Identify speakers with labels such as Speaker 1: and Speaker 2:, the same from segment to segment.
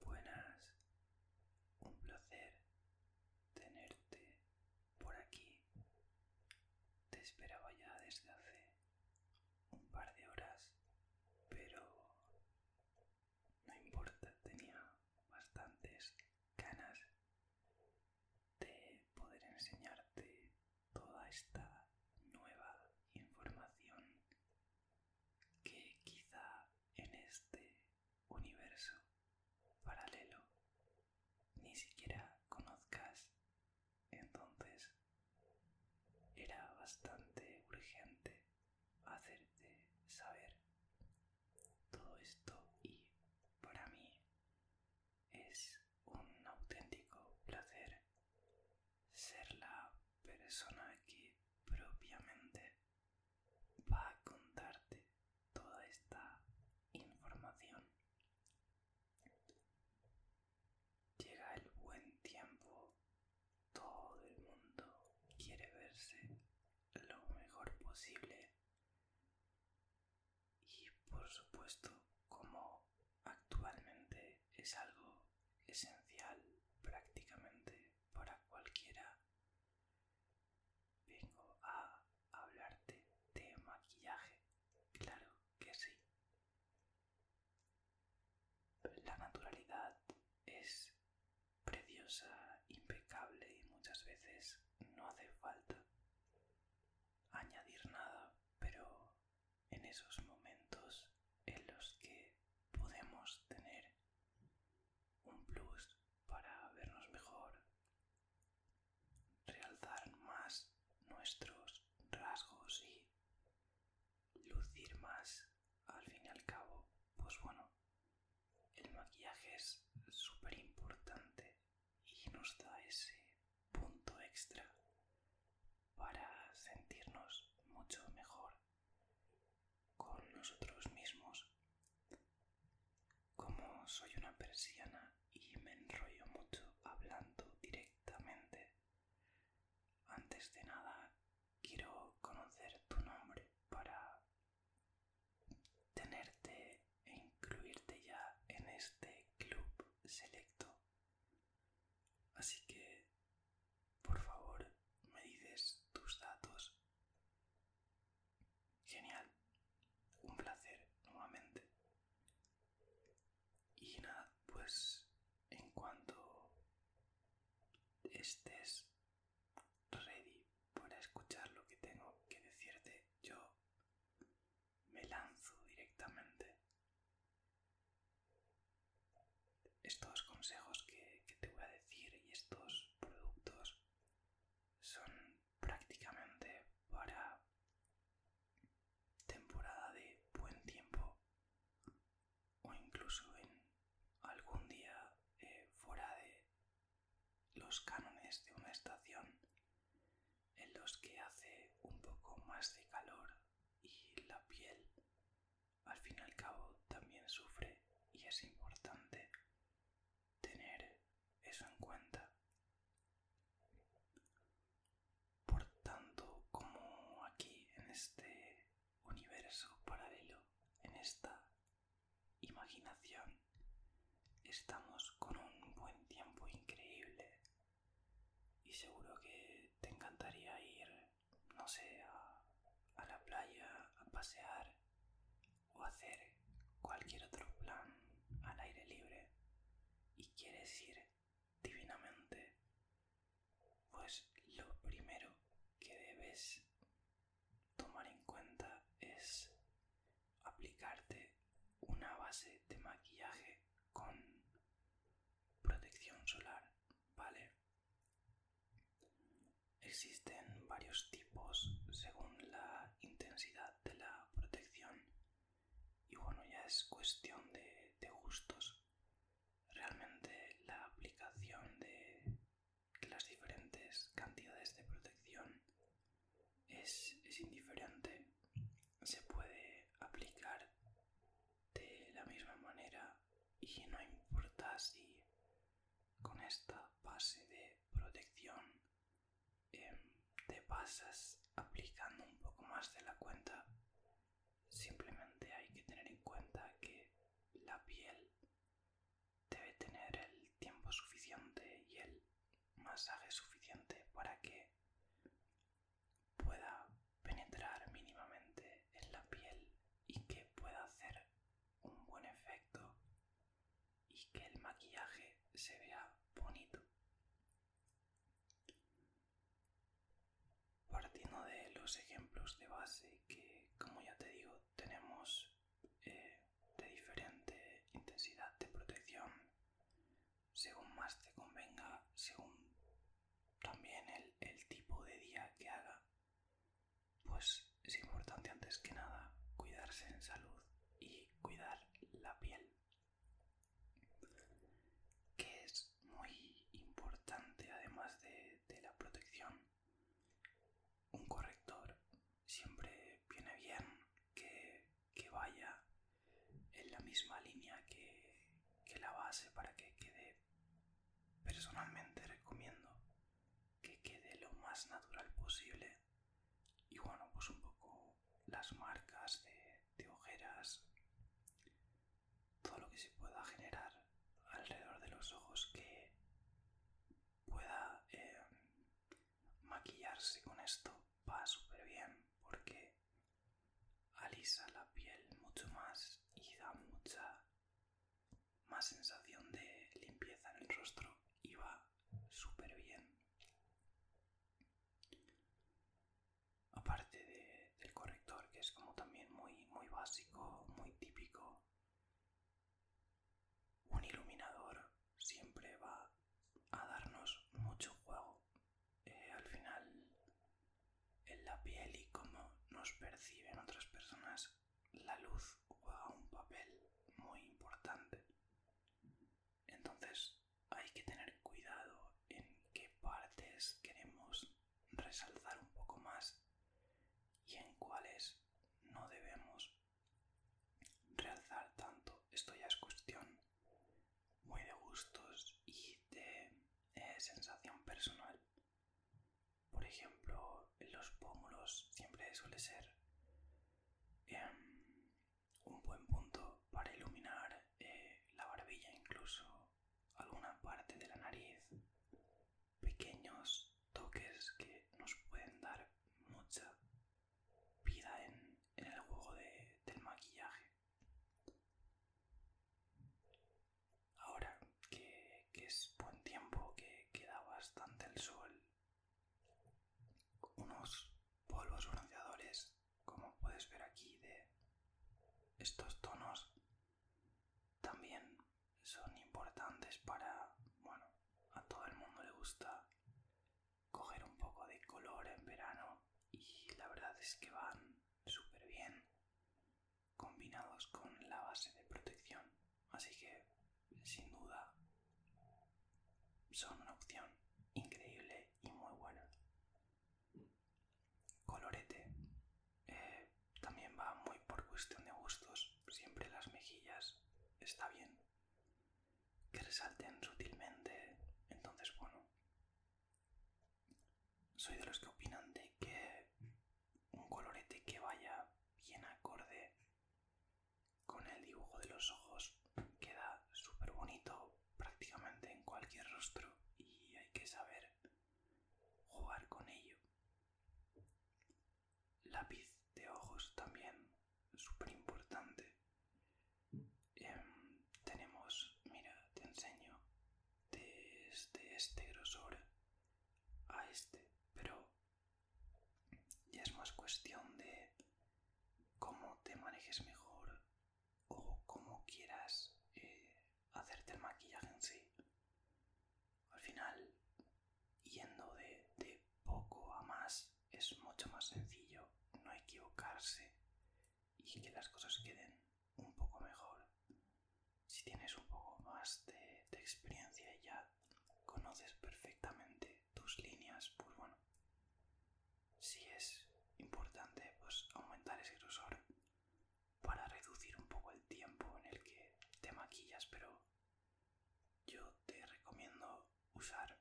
Speaker 1: Buenas, un placer tenerte por aquí. Te esperaba ya desde hace un par de horas, pero no importa, tenía bastantes ganas de poder enseñarte toda esta nueva información que quizá en este universo paralelo ni siquiera conozcas. Entonces era bastante urgente hacerte saber todo esto y para mí es un auténtico placer ser la persona que propiamente va a contarte toda esta información. Llega el buen tiempo, todo el mundo quiere verse lo mejor posible y por supuesto como actualmente es algo esencial prácticamente para cualquiera. Vengo a hablarte de maquillaje. Claro que sí. La naturalidad es preciosa, impecable y muchas veces no hace falta añadir nada, pero en esos momentos en los que podemos tener un plus para vernos mejor, realzar más nuestros rasgos y lucir más al fin y al cabo. Pues bueno, el maquillaje es súper importante y nos da ese punto extra para sentirnos mucho mejor con nosotros mismos. Como soy una persiana y me enrollo mucho hablando directamente, antes de nada quiero conocer tu nombre para tenerte e incluirte ya en este club selecto. Así que por favor, me dices tus datos.
Speaker 2: Genial. Un placer nuevamente.
Speaker 1: Y nada, pues en cuanto estés ready para escuchar lo que tengo que decirte, yo me lanzo directamente estos consejos que, te voy a decir y estos productos son prácticamente para temporada de buen tiempo o incluso en algún día eh, fuera de los cánones de una estación en los que hace un poco más de calor y la piel al fin y al cabo también sufre y es importante tener eso en cuenta. Por tanto, como aquí en este universo paralelo, en esta imaginación, estamos con un buen tiempo increíble y seguro que te encantaría ir no sé, a, la playa, a pasear o hacer cualquier otro plan al aire libre y quieres ir divinamente, pues lo primero que debes tomar en cuenta es aplicarte una base de maquillaje con protección solar, ¿vale? Existen varios tipos según la intensidad de la protección y bueno, ya es cuestión de, gustos. Realmente la aplicación de las diferentes cantidades de protección es, es indiferente. Se puede aplicar de la misma manera y no importa si con esta base de protección em, te pasas aplicando un poco más de la cuenta simplemente hay que tener en cuenta que la piel debe tener el tiempo suficiente y el masaje suficiente para que pueda penetrar mínimamente en la piel y que pueda hacer un buen efecto y que el maquillaje se vea bonito. Partiendo de los ejemplos de base que, como ya te digo, tenemos eh, de diferente intensidad de protección, según más te convenga, según también el tipo de día que haga pues es importante antes que nada cuidarse en salud y cuidar la piel, que es muy importante además de, la protección. Un corrector siempre viene bien que, vaya en la misma línea que la base para que quede personalmente recomiendo que quede lo más natural posible. Y bueno, pues un poco las marcas de, ojeras, todo lo que se pueda generar alrededor de los ojos que pueda eh, maquillarse con esto va súper bien porque alisa la piel mucho más y da mucha más sensación de limpieza en el rostro y va súper bien. Aparte del corrector, que es como también muy, muy básico, muy típico, un iluminador siempre va a darnos mucho juego. Eh, al final, en la piel y cómo nos perciben otras personas la luz juega un papel muy importante. Entonces hay que tener cuidado en qué partes queremos resaltar un poco más y en cuáles no debemos realzar tanto. Esto ya es cuestión muy de gustos y de eh, sensación personal. Por ejemplo, los pómulos siempre suele ser em, un buen punto para iluminar eh, la barbilla, incluso alguna parte de la nariz. Pequeños toques que nos pueden dar mucha vida en, el juego del maquillaje ahora que, es buen tiempo, que queda bastante el sol, unos polvos bronceadores, como puedes ver aquí, de estos tonos, también son importantes para, bueno, a todo el mundo le gusta coger un poco de color en verano y la verdad es que van súper bien combinados con la base de protección. Así que, sin duda, son una opción increíble y muy buena. Colorete. Eh, también va muy por cuestión de gustos. Siempre las mejillas está bien. Que resalten sutilmente. Entonces, bueno. Soy de los que opinan de que un colorete que vaya bien acorde con el dibujo de los ojos. Queda súper bonito prácticamente en cualquier rostro y hay que saber jugar con ello. Lápiz de ojos también, súper importante. Em, tenemos, mira, te enseño desde este grosor a este, pero ya es más cuestión de cómo te manejes mejor o cómo quieras eh, hacerte el maquillaje en sí. Al final, yendo de poco a más, es mucho más sencillo no equivocarse y que las cosas queden un poco mejor si tienes un poco más de, experiencia y ya conoces perfectamente tus líneas, pues bueno, si es importante, pues aumentar ese grosor para reducir un poco el tiempo en el que te maquillas, pero yo te recomiendo usar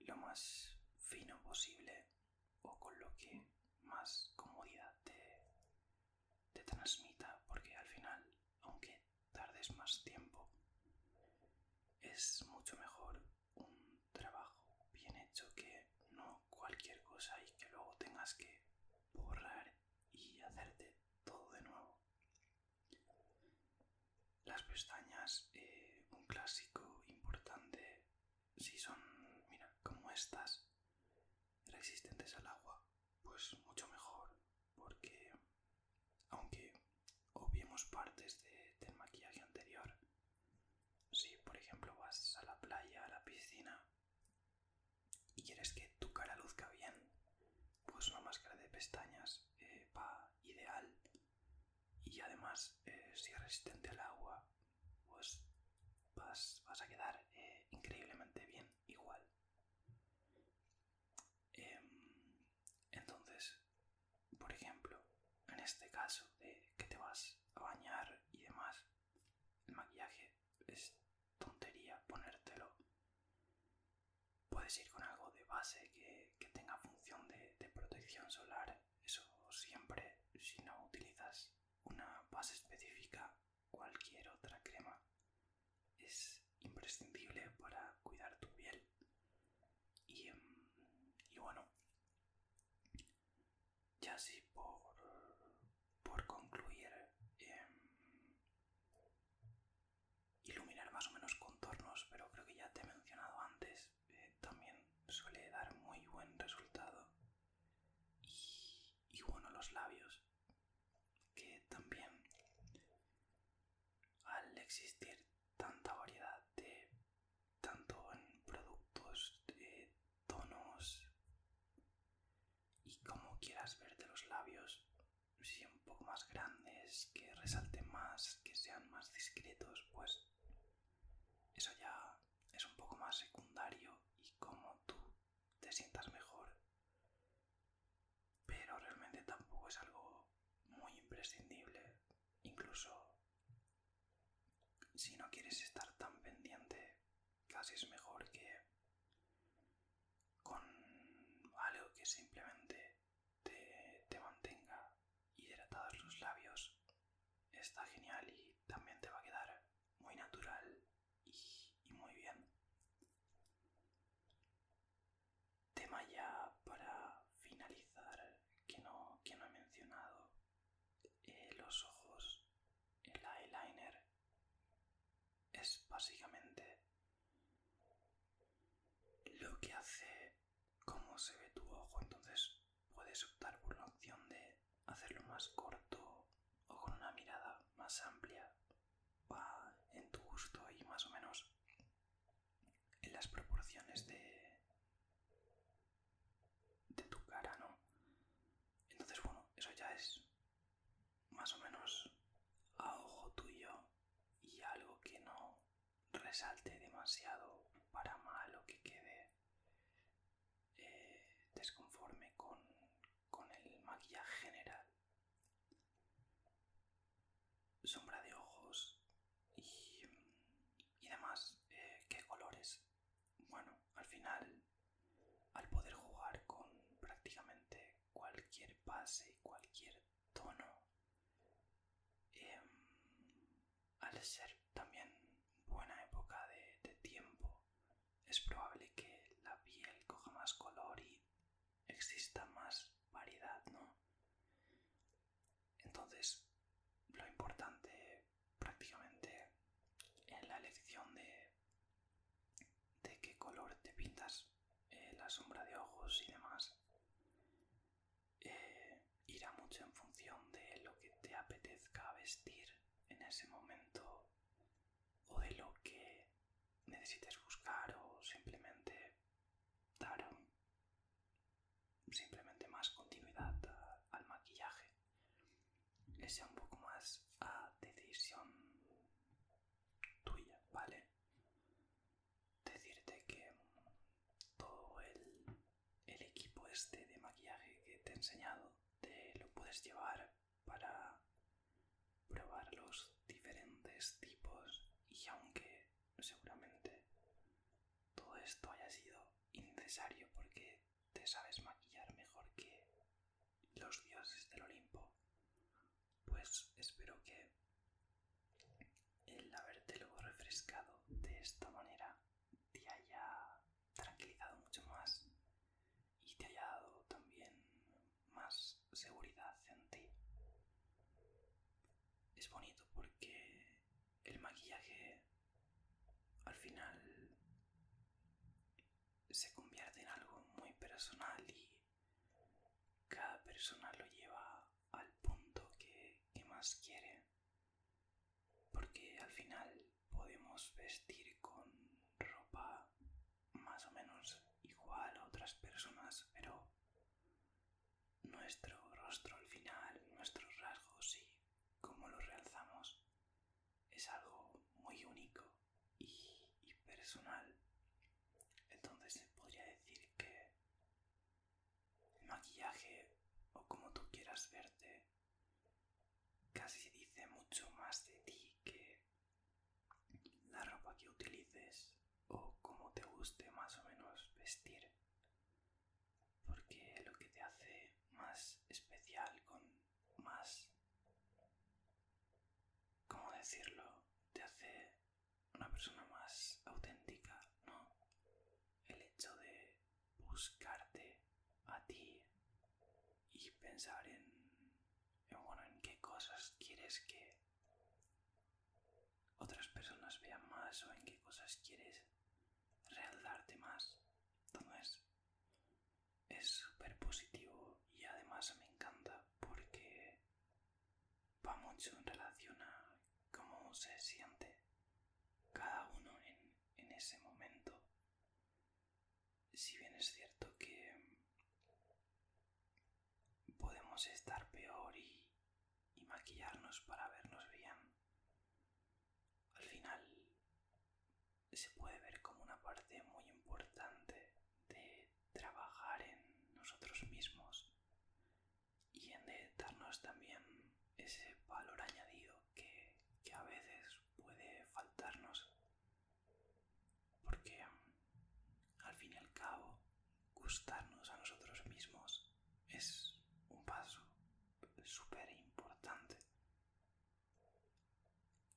Speaker 1: lo más fino posible o con lo que más comodidad te, te transmita, porque al final, aunque tardes más tiempo, es mucho mejor un trabajo bien hecho que no cualquier cosa y que luego tengas que borrar y hacerte todo de nuevo. Las pestañas, eh, un clásico importante, si son, mira, como estas, resistentes al agua, pues mucho mejor, porque aunque obviemos partes del maquillaje anterior, si por ejemplo vas a la playa, a la piscina y quieres que tu cara luzca bien, pues una máscara de pestañas eh, va ideal y además eh, si es resistente al agua, pues vas, a quedar eh, increíblemente bien igual. Em, entonces, por ejemplo, en este caso de que te vas a bañar y demás, el maquillaje es tontería ponértelo. Puedes ir con algo de base que, tenga función de protección solar, eso siempre, si no utilizas una base específica cualquier otra crema. Es imprescindible para cuidar tu piel. Y, em, y bueno, ya sí, por, por concluir, em, iluminar más o menos contornos, pero creo que ya te he mencionado antes, eh, también suele dar muy buen resultado. Y, y bueno, los labios que también al existir tanta variedad de tanto en productos de eh, tonos y como quieras verte los labios si un poco más grandes que resalten más que sean más discretos pues eso ya es un poco más secundario y como tú te sientas mejor, pero realmente tampoco es algo muy imprescindible, incluso si no quieres estar tan pendiente, casi es mejor que con algo que simplemente te, te mantenga hidratados los labios. Está genial y también te va a quedar muy natural y, muy bien. Tema ya para finalizar que no, que no he mencionado. Eh, los ojos, el eyeliner, es básicamente lo que hace cómo se ve tu ojo. Entonces puedes optar por la opción de hacerlo más corto o con una mirada más amplia va en tu gusto y más o menos en las proporciones de, de tu cara, ¿no? Entonces, bueno, eso ya es más o menos a ojo tuyo y algo que no resalte demasiado para mal o que quede eh, desconforme con el maquillaje general sombra de ojos y, y demás. Eh, ¿Qué colores? Bueno, al final, al poder jugar con prácticamente cualquier base y cualquier tono, em, al ser también buena época de tiempo es probable que la piel coja más color y exista más variedad, ¿no? Entonces, lo importante prácticamente en la elección de, de qué color te pintas eh, la sombra de ojos y demás eh, irá mucho en función de lo que te apetezca vestir en ese momento o de lo que necesites buscar o simplemente dar simplemente más continuidad al maquillaje que sea un poco más a decisión tuya vale decirte que todo el, el equipo este de maquillaje que te he enseñado te lo puedes llevar para probar los diferentes tipos y aunque seguramente todo esto haya sido innecesario porque te sabes maquillar mejor que los dioses del Olimpo, pues espero que el luego refrescado de esta manera te haya tranquilizado mucho más y te haya dado también más seguridad en ti. Es bonito porque el maquillaje al final se convierte en algo muy personal y cada persona lo lleva al punto que, que más quiere. Porque al final podemos vestir con ropa más o menos igual a otras personas, pero nuestro rostro al final, nuestros rasgos y cómo los realzamos es algo muy único y, personal. Entonces se podría decir que el maquillaje o como tú quieras verte casi dice mucho más de ti que la ropa que utilices o como te guste más o menos vestir porque lo que te hace más especial con más cómo decirlo te hace una persona más auténtica no el hecho de buscarte a ti y pensar en bueno, en qué cosas quieres que otras personas vean más o en qué cosas quieres realzarte más. Entonces, es súper positivo y además me encanta porque va mucho en relación a cómo se siente cada uno en ese
Speaker 2: momento si bien es cierto que podemos estar peor y, maquillarnos para vernos bien, al final se puede ver como una parte muy importante de trabajar en nosotros mismos y en darnos también ese valor añadido que a veces puede faltarnos porque al fin y al cabo, gustarnos a nosotros mismos es un paso
Speaker 1: súper importante.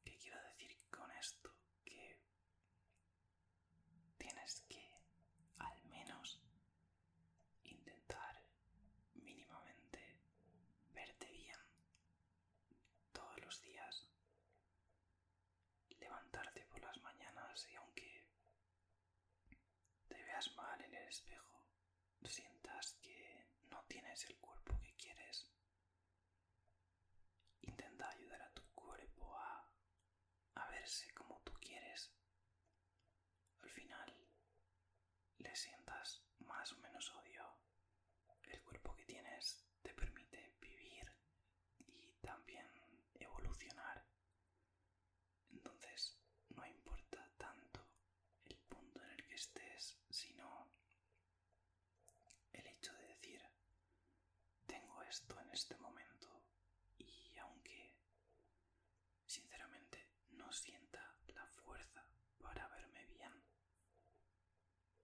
Speaker 1: ¿Qué quiero decir con esto? Que tienes que al menos
Speaker 2: intentar mínimamente verte bien
Speaker 1: todos los días levantarte por las mañanas y aunque te veas mal en el espejo, sientas que no tienes el cuerpo que quieres. Intenta ayudar a tu cuerpo a, verse como tú quieres. Al final, le sientas más o menos odio el cuerpo que tienes te permite vivir y también evolucionar. Entonces no importa tanto el punto en el que estés, sino el hecho de decir, tengo esto en este momento y aunque sinceramente no sienta la fuerza para verme bien,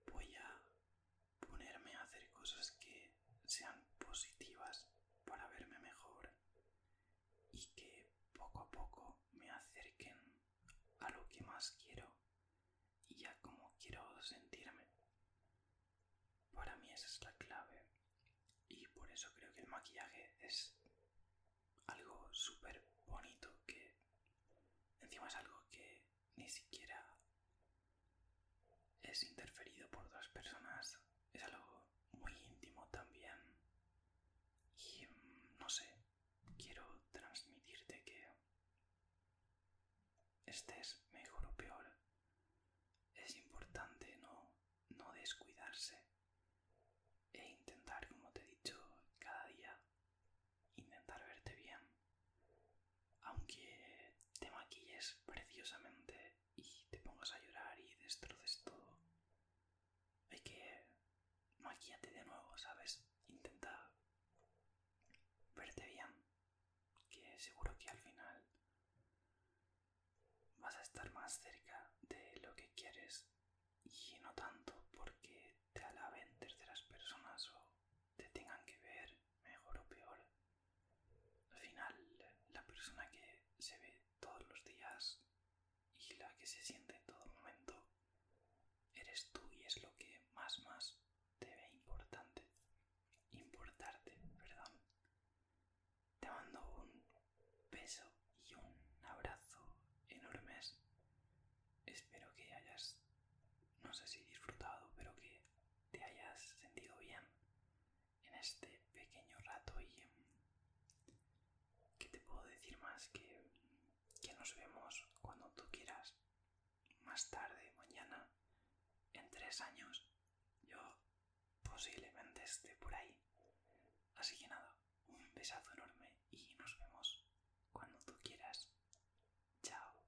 Speaker 1: voy a ponerme a hacer cosas que sean positivas para verme mejor y que poco a poco me acerquen a lo que más quiero y a cómo quiero sentirme. Para mí esa es la clave y por eso creo que el maquillaje es algo súper bonito que encima es algo que ni siquiera es interferido por otras personas. Es algo muy íntimo también. Y mm, no sé, quiero transmitirte que estés mejor o peor. Es importante no, no descuidarse e intentar, como te he dicho, cada día intentar verte bien, aunque te maquilles preciosamente y te pongas a llorar y destroces todo, hay que maquillarte de nuevo, ¿sabes? Intenta verte bien, que seguro que al final vas a estar más cerca de lo que quieres y no tanto porque te alaben terceras personas o te tengan que ver mejor o peor al final, la persona que se ve todos los días y la que se siente en todo momento, eres tú y es lo que más más te ve importante. Importarte, perdón. Te mando un beso y un abrazo enormes. Espero que hayas, no sé si disfrutado, pero que te hayas sentido bien en este pequeño rato y em, que te puedo decir más que, que nos vemos cuando tú quieras más tarde mañana en tres años yo posiblemente esté por ahí así que nada un besazo enorme y nos vemos cuando tú quieras chao